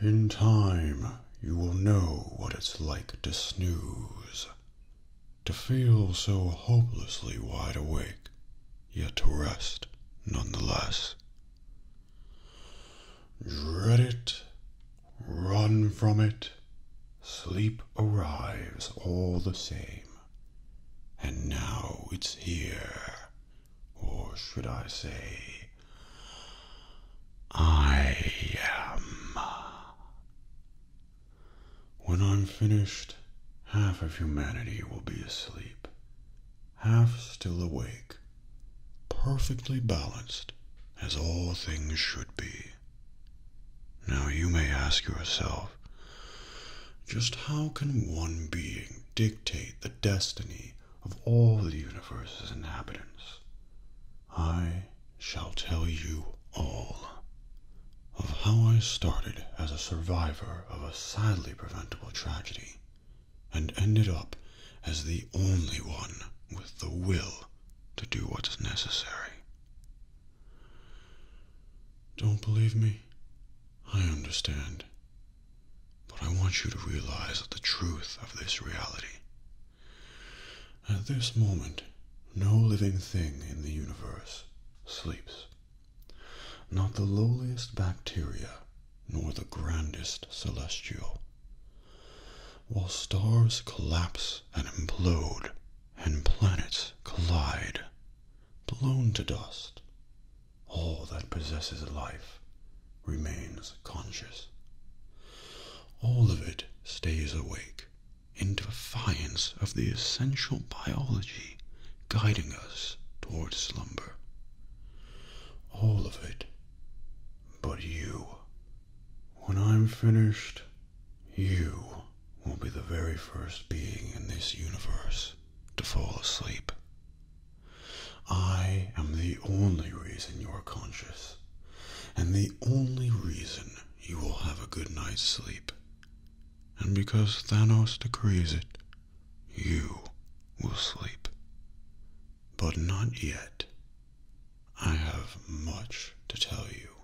In time, you will know what it's like to snooze, to feel so hopelessly wide awake, yet to rest nonetheless. Dread it Run from it. Sleep arrives all the same. And now it's here. Or should I say, I am. When I'm finished, half of humanity will be asleep, half still awake, perfectly balanced as all things should be. Now you may ask yourself, just how can one being dictate the destiny of all the universe's inhabitants? I shall tell you all of how I started as a survivor of a sadly preventable tragedy and ended up as the only one with the will to do what is necessary. Don't believe me? I understand. But I want you to realize the truth of this reality. At this moment, no living thing in the universe sleeps. Not the lowliest bacteria, nor the grandest celestial. While stars collapse and implode, and planets collide, blown to dust, all that possesses life remains conscious. All of it stays awake in defiance of the essential biology guiding us toward slumber. All of it, but you. When I'm finished, you will be the very first being in this universe to fall asleep. I am the only reason you're conscious, and the only reason you will have a good night's sleep. And because Thanos decrees it, you will sleep. But not yet. I have much to tell you.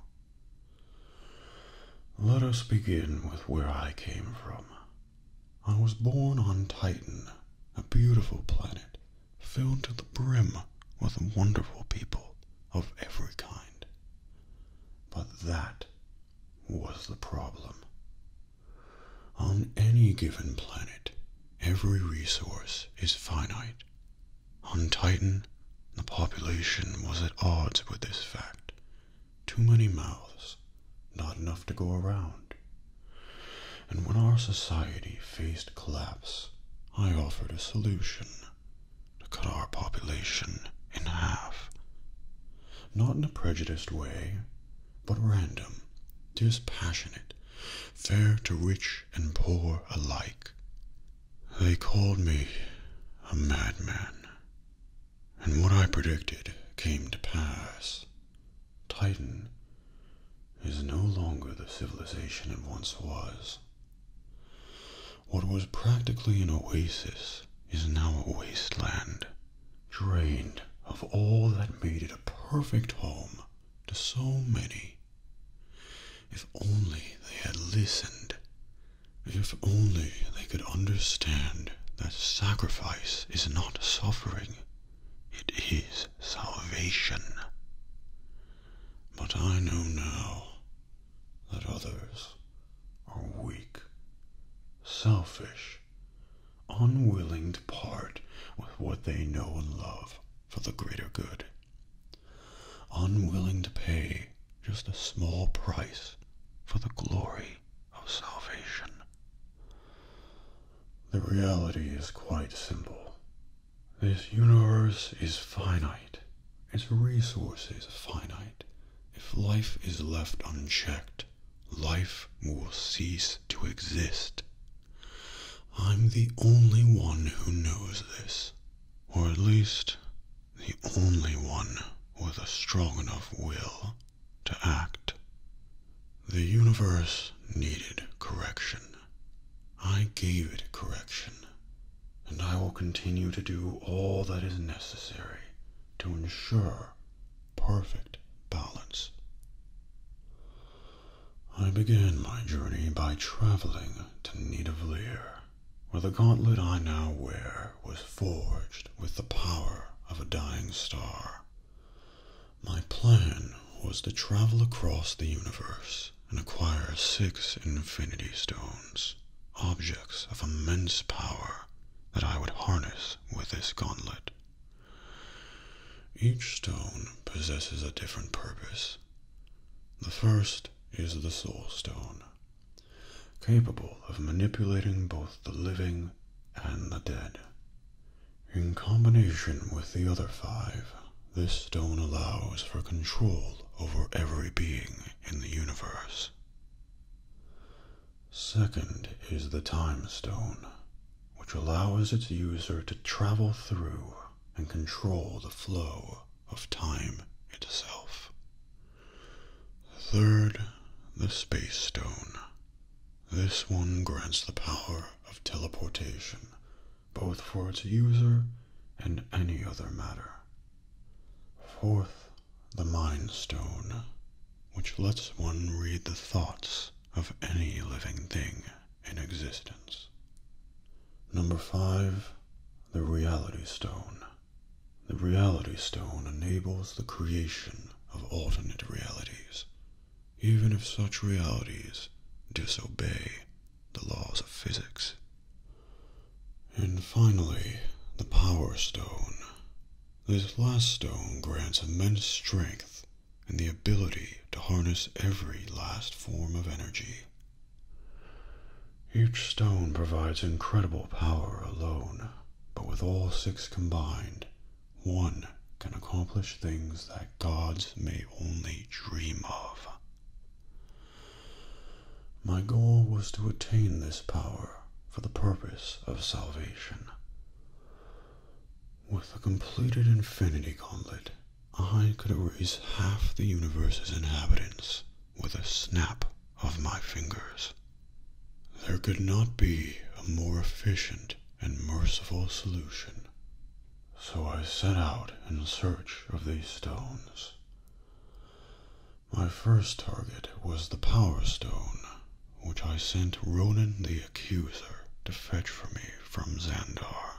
Let us begin with where I came from. I was born on Titan, a beautiful planet filled to the brim with wonderful people of every kind. But that was the problem. On any given planet, every resource is finite. On Titan, the population was at odds with this fact. Too many mouths, not enough to go around. And when our society faced collapse, I offered a solution to cut our population in half. Not in a prejudiced way, but random, dispassionate, fair to rich and poor alike. They called me a madman, and what I predicted came to pass. Titan is no longer the civilization it once was. What was practically an oasis is now a wasteland, drained of all that made it a perfect home to so many. If only they had listened. If only they could understand that sacrifice is not suffering, it is salvation. But I know now that others are weak, selfish, unwilling to part with what they know and love for the greater good, unwilling to pay just a small price for the glory of salvation. The reality is quite simple. This universe is finite. Its resources finite. If life is left unchecked, life will cease to exist. I'm the only one who knows this, or at least the only one with a strong enough will to act. The universe needed correction. I gave it correction, and I will continue to do all that is necessary to ensure perfect balance. I began my journey by traveling to Nidavellir, where the gauntlet I now wear was forged with the power of a dying star. My plan was to travel across the universe and acquire six infinity stones, objects of immense power that I would harness with this gauntlet. Each stone possesses a different purpose. The first is the soul stone, capable of manipulating both the living and the dead. In combination with the other five, this stone allows for control over every being in the universe. Second is the Time Stone, which allows its user to travel through and control the flow of time itself. Third, the Space Stone. This one grants the power of teleportation, both for its user and any other matter. Fourth, the Mind Stone which lets one read the thoughts of any living thing in existence. Number five, the Reality Stone. The Reality Stone enables the creation of alternate realities, even if such realities disobey the laws of physics. And finally, the Power Stone. This last stone grants immense strength and the ability to harness every last form of energy. Each stone provides incredible power alone, but with all six combined, one can accomplish things that gods may only dream of. My goal was to attain this power for the purpose of salvation. With a completed Infinity Gauntlet, I could erase half the universe's inhabitants with a snap of my fingers. There could not be a more efficient and merciful solution. So I set out in search of these stones. My first target was the Power Stone, which I sent Ronan the Accuser to fetch for me from Xandar.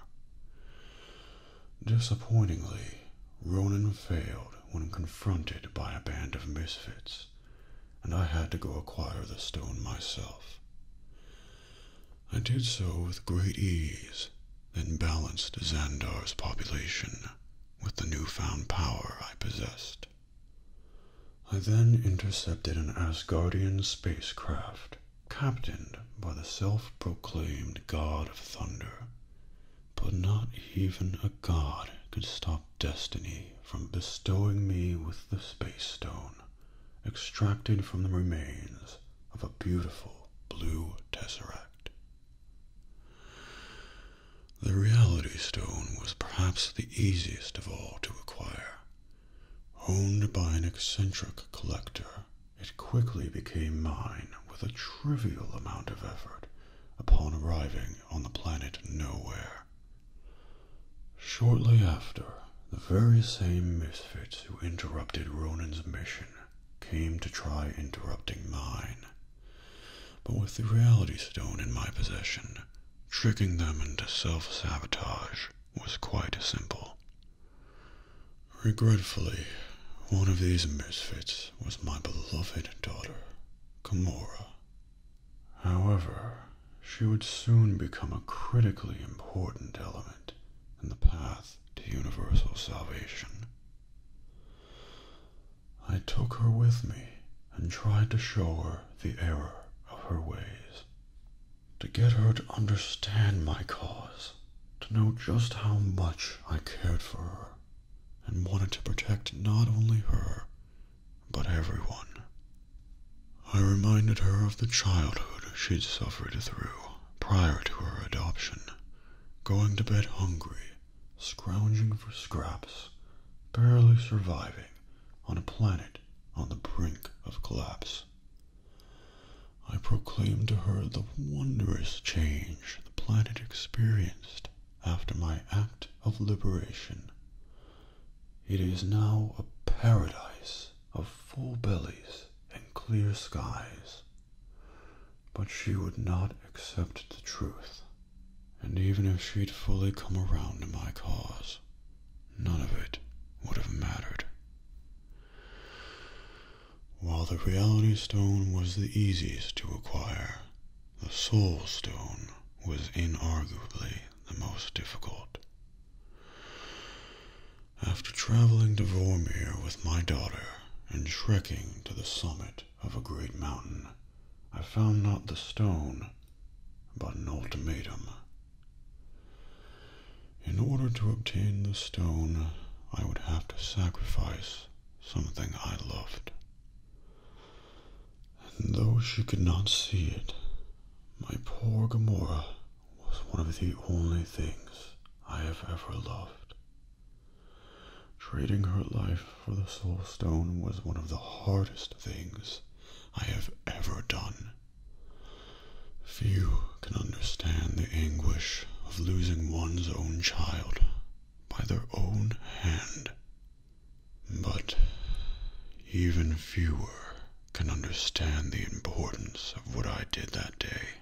Disappointingly, Ronan failed when confronted by a band of misfits, and I had to go acquire the stone myself. I did so with great ease, then balanced Xandar's population with the newfound power I possessed. I then intercepted an Asgardian spacecraft captained by the self proclaimed God of Thunder. But not even a god could stop destiny from bestowing me with the space stone, extracted from the remains of a beautiful blue tesseract. The Reality Stone was perhaps the easiest of all to acquire. Owned by an eccentric collector, it quickly became mine with a trivial amount of effort upon arriving on the planet Nowhere. Shortly after, the very same misfits who interrupted Ronan's mission came to try interrupting mine. But with the reality stone in my possession, tricking them into self sabotage was quite simple. Regretfully, one of these misfits was my beloved daughter, Kimura. However, she would soon become a critically important element in the path to universal salvation. I took her with me and tried to show her the error of her ways, to get her to understand my cause, to know just how much I cared for her and wanted to protect not only her, but everyone. I reminded her of the childhood she'd suffered through prior to her adoption, going to bed hungry scrounging for scraps, barely surviving on a planet on the brink of collapse. I proclaimed to her the wondrous change the planet experienced after my act of liberation. It is now a paradise of full bellies and clear skies. But she would not accept the truth. And even if she'd fully come around to my cause, none of it would have mattered. While the Reality Stone was the easiest to acquire, the Soul Stone was inarguably the most difficult. After traveling to Vormir with my daughter and trekking to the summit of a great mountain, I found not the stone, but an ultimatum. In order to obtain the stone, I would have to sacrifice something I loved. And though she could not see it, my poor Gamora was one of the only things I have ever loved. Trading her life for the Soul Stone was one of the hardest things I have ever done. Few can understand the anguish of losing one's own child by their own hand. But even fewer can understand the importance of what I did that day.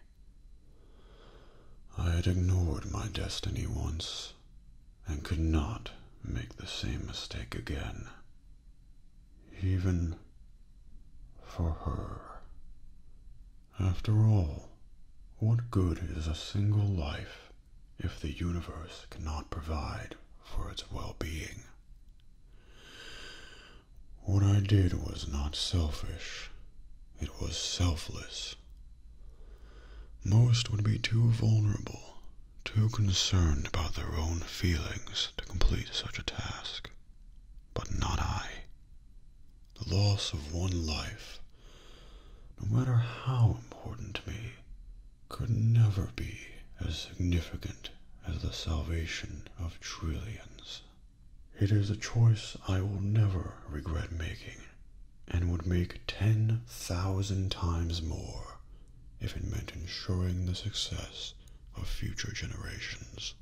I had ignored my destiny once and could not make the same mistake again. Even for her. After all, what good is a single life if the universe cannot provide for its well being? What I did was not selfish, it was selfless. Most would be too vulnerable, too concerned about their own feelings to complete such a task. But not I. The loss of one life, no matter how important to me, could never be as significant as the salvation of trillions. It is a choice I will never regret making, and would make ten thousand times more if it meant ensuring the success of future generations.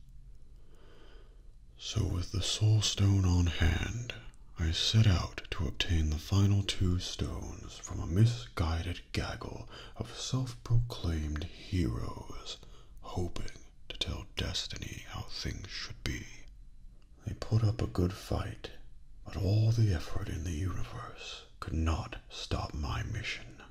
So, with the Soul Stone on hand, I set out to obtain the final two stones from a misguided gaggle of self proclaimed heroes, hoping to tell destiny how things should be. They put up a good fight, but all the effort in the universe could not stop my mission.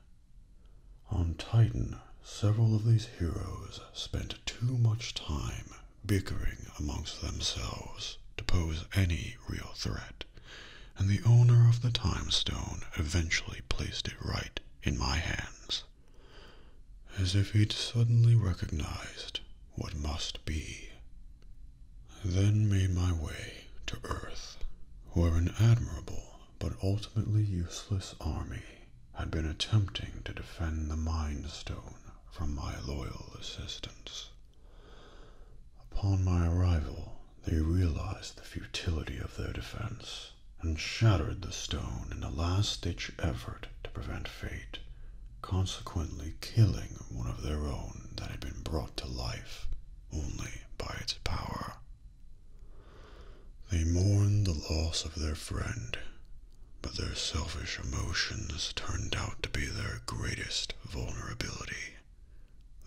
On Titan, several of these heroes spent too much time bickering amongst themselves to pose any real threat, and the owner of the Time Stone eventually placed it right in my hands as if he'd suddenly recognized what must be. Then made my way to Earth, where an admirable but ultimately useless army had been attempting to defend the Mind Stone from my loyal assistance. Upon my arrival, they realized the futility of their defense and shattered the stone in a last ditch effort to prevent fate, consequently, killing one of their own that had been brought to life only by its power. They mourned the loss of their friend, but their selfish emotions turned out to be their greatest vulnerability.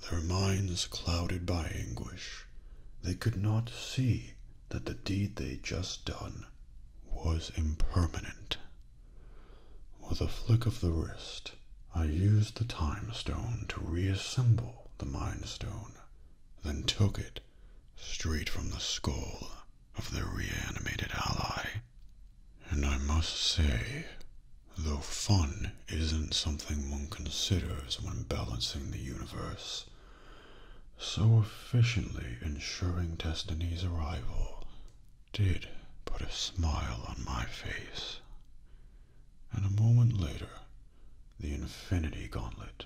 Their minds clouded by anguish, they could not see that the deed they just done was impermanent. With a flick of the wrist, I used the time stone to reassemble the mind stone, then took it straight from the skull of the reanimated ally. And I must say, though fun isn't something one considers when balancing the universe, so efficiently ensuring Destiny's arrival did put a smile on my face. And a moment later, the Infinity Gauntlet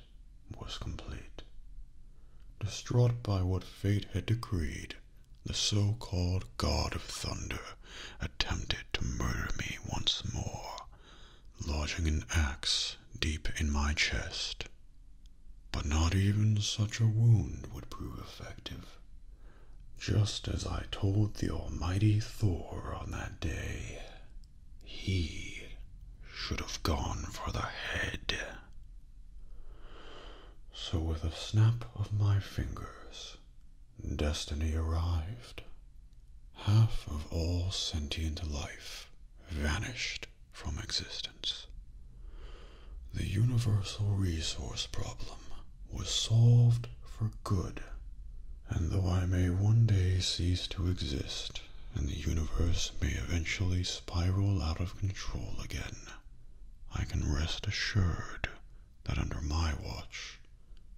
was complete. Distraught by what fate had decreed, the so called God of Thunder attempted to murder me once more, lodging an axe deep in my chest. But not even such a wound would prove effective. Just as I told the almighty Thor on that day, he should have gone for the head. So, with a snap of my fingers, destiny arrived half of all sentient life vanished from existence. The universal resource problem was solved for good, and though I may one day cease to exist, and the universe may eventually spiral out of control again, I can rest assured that under my watch,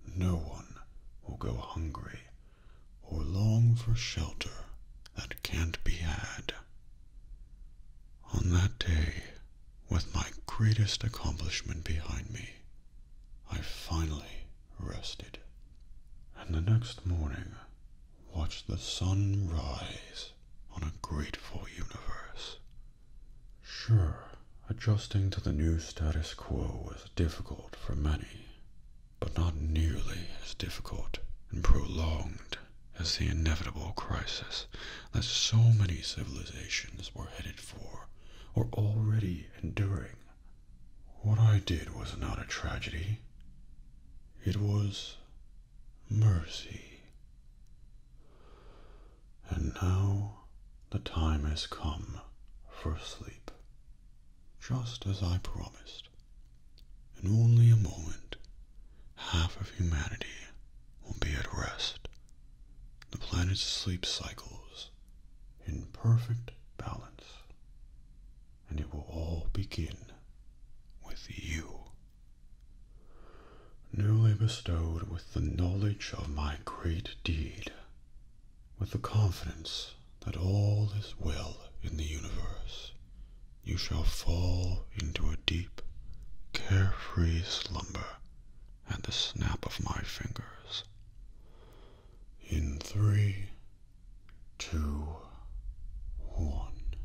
no one will go hungry or long for shelter that can't be had. On that day, with my greatest accomplishment behind me, I finally rested, and the next morning watched the sun rise on a grateful universe. Sure, adjusting to the new status quo was difficult for many, but not nearly as difficult and prolonged as the inevitable crisis that so many civilizations were headed for or already enduring. What I did was not a tragedy, it was mercy. And now the time has come for sleep just as I promised. In only a moment, half of humanity will be at rest. The planet's sleep cycles in perfect balance, and it will all begin with you. Newly bestowed with the knowledge of my great deed, with the confidence that all is well in the universe, you shall fall into a deep, carefree slumber at the snap of my fingers. In three, two, one.